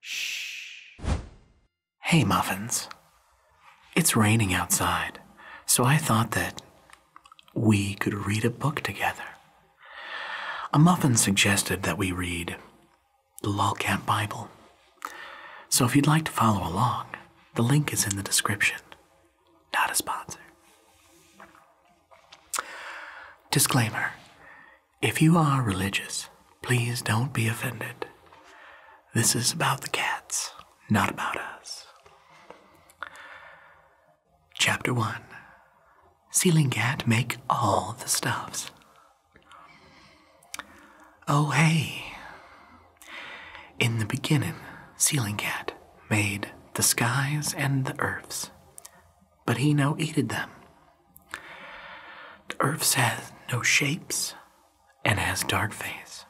Shh. Hey, Muffins. It's raining outside, so I thought that we could read a book together. A muffin suggested that we read the Camp Bible. So if you'd like to follow along, the link is in the description. Not a sponsor. Disclaimer if you are religious, please don't be offended. This is about the cats, not about us. Chapter 1 Ceiling Cat Make All the Stuffs. Oh, hey. In the beginning, Ceiling Cat made the skies and the earths, but he no eated them. The earth has no shapes and has dark face.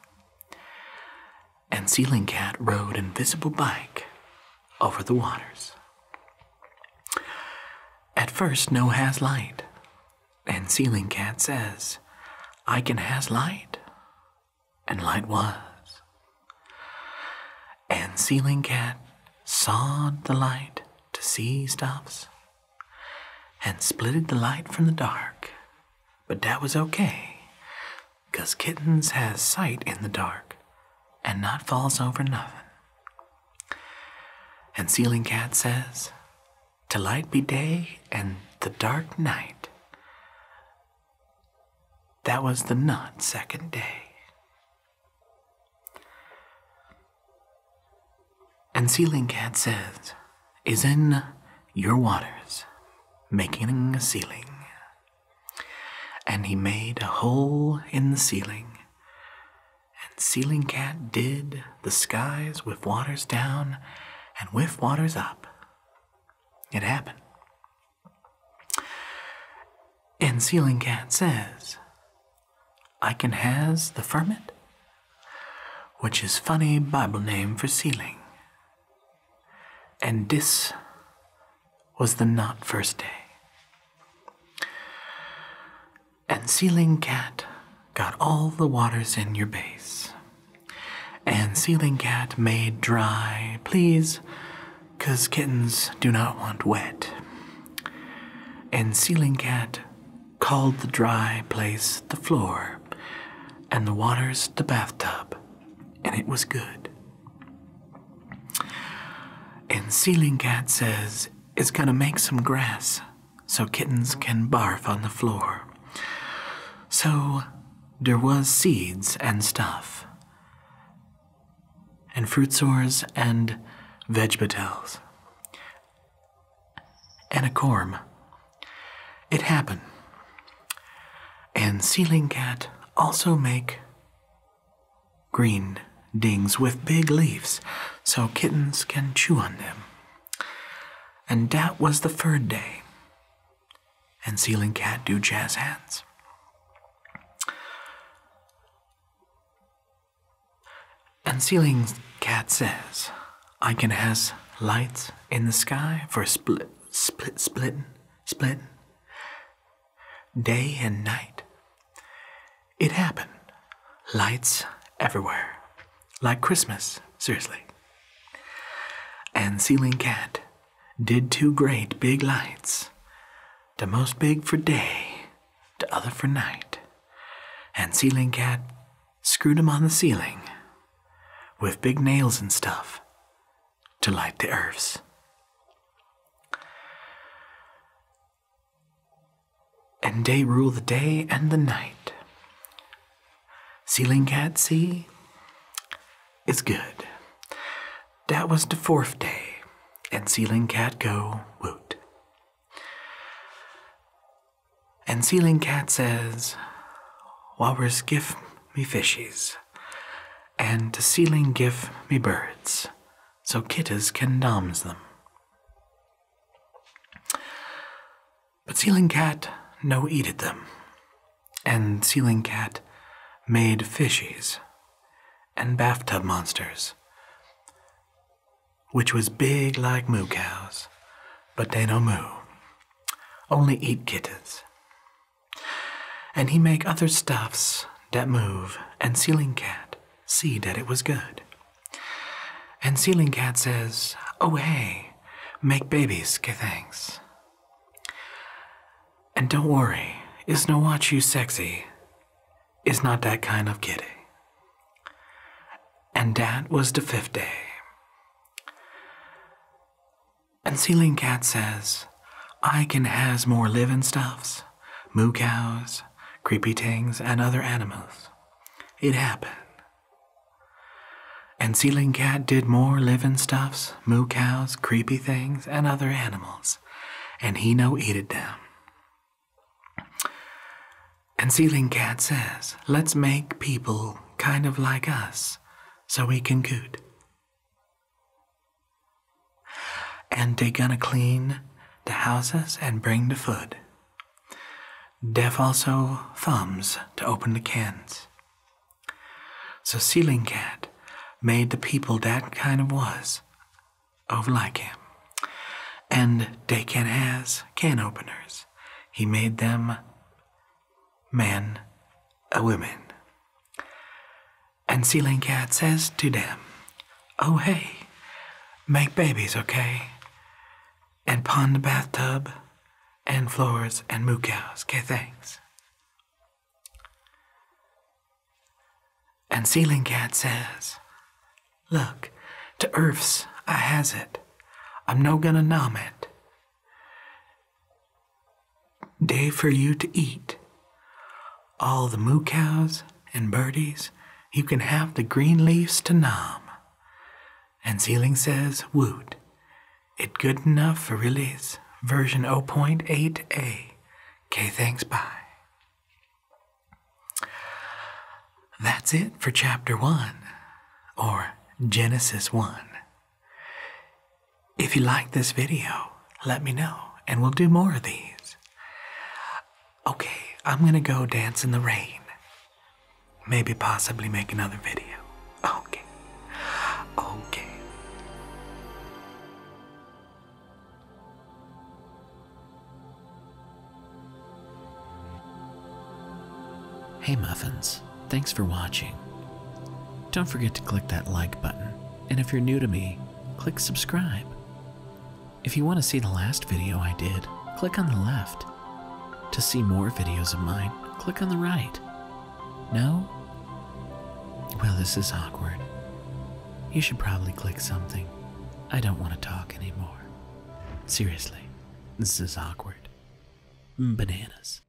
And Ceiling Cat rode invisible bike over the waters. At first, no has light, and Ceiling Cat says, I can has light, and light was and ceiling cat sawed the light to see stops, and splitted the light from the dark. But dat was okay, cause kittens has sight in the dark and not falls over nothin. And ceiling cat says, To be day and the dark night. That was the not second day. And Ceiling Cat says, is in your waters, making a ceiling. And he made a hole in the ceiling. And Ceiling Cat did the skies with waters down and with waters up. It happened. And Ceiling Cat says, I can has the ferment, which is funny Bible name for ceiling." And dis was the not first day. And Ceiling Cat got all the waters in your base. And Ceiling Cat made dry, please, because kittens do not want wet. And Ceiling Cat called the dry place the floor, and the waters the bathtub, and it was good. And Ceiling Cat says it's gonna make some grass so kittens can barf on the floor. So dere was seeds and stuff, and fruit sores and vegetals and a corm. It happened. And ceiling cat also make green dings with big leaves so kittens can chew on them. And dat was the third day and Ceiling Cat do jazz hands. And Ceiling Cat says, I can has lights in the sky for split, split, split, splitting, day and night. It happened. Lights everywhere. Like Christmas, seriously. And Ceiling Cat did two great big lights, de most big for day, de other for night. And Ceiling Cat screwed 'em on the ceiling with big nails and stuff to light the earths. And day ruled the day and the night. Sealing Cat, see? It's good. Dat was de fourth day, and sealing Cat go woot. And sealing Cat says, Walrus give me fishes, and de sealing give me birds, so kittas can doms them. But Ceiling Cat no eated them, and Ceiling Cat made fishies and bathtub monsters, which was big like moo cows, but dey no moo, only eat kittens. And he make other stuffs dat move, and Ceiling Cat see dat it was good. And Ceiling Cat says, Oh hey, make babies que things. And don't worry, is no watch you sexy is not that kind of kitty. And dat was de fifth day. And Ceiling Cat says, I can has more living stuffs, moo cows, creepy tings, and other animals. It happen. And Ceiling Cat did more living stuffs, moo cows, creepy things, and other animals, and he no eated them. And Ceiling Cat says, let's make people kind of like us so we can good. And they gonna clean the houses and bring the food. Deaf also thumbs to open the cans. So Ceiling Cat made the people dat kind of was of like him. And dey can has can openers. He made them men a women. And Ceiling Cat says to them, Oh hey, make babies, okay? and pond bathtub and floors and moo cows. Okay, thanks. And Ceiling Cat says, Look, to earths I has it. I'm no gonna nom it. Day for you to eat. All the moo cows and birdies, you can have the green leaves to nom. And Seeling says, Woot, it good enough for release, version 0.8a. K, thanks, bye. That's it for chapter 1, or Genesis 1. If you like this video, let me know, and we'll do more of these okay, I'm gonna go dance in the rain. Maybe possibly make another video. Okay. Okay. Hey Muffins, thanks for watching. Don't forget to click that like button, and if you're new to me, click subscribe. If you want to see the last video I did, click on the left. To see more videos of mine, click on the right. No? Well, this is awkward. You should probably click something. I don't want to talk anymore. Seriously, this is awkward. Bananas.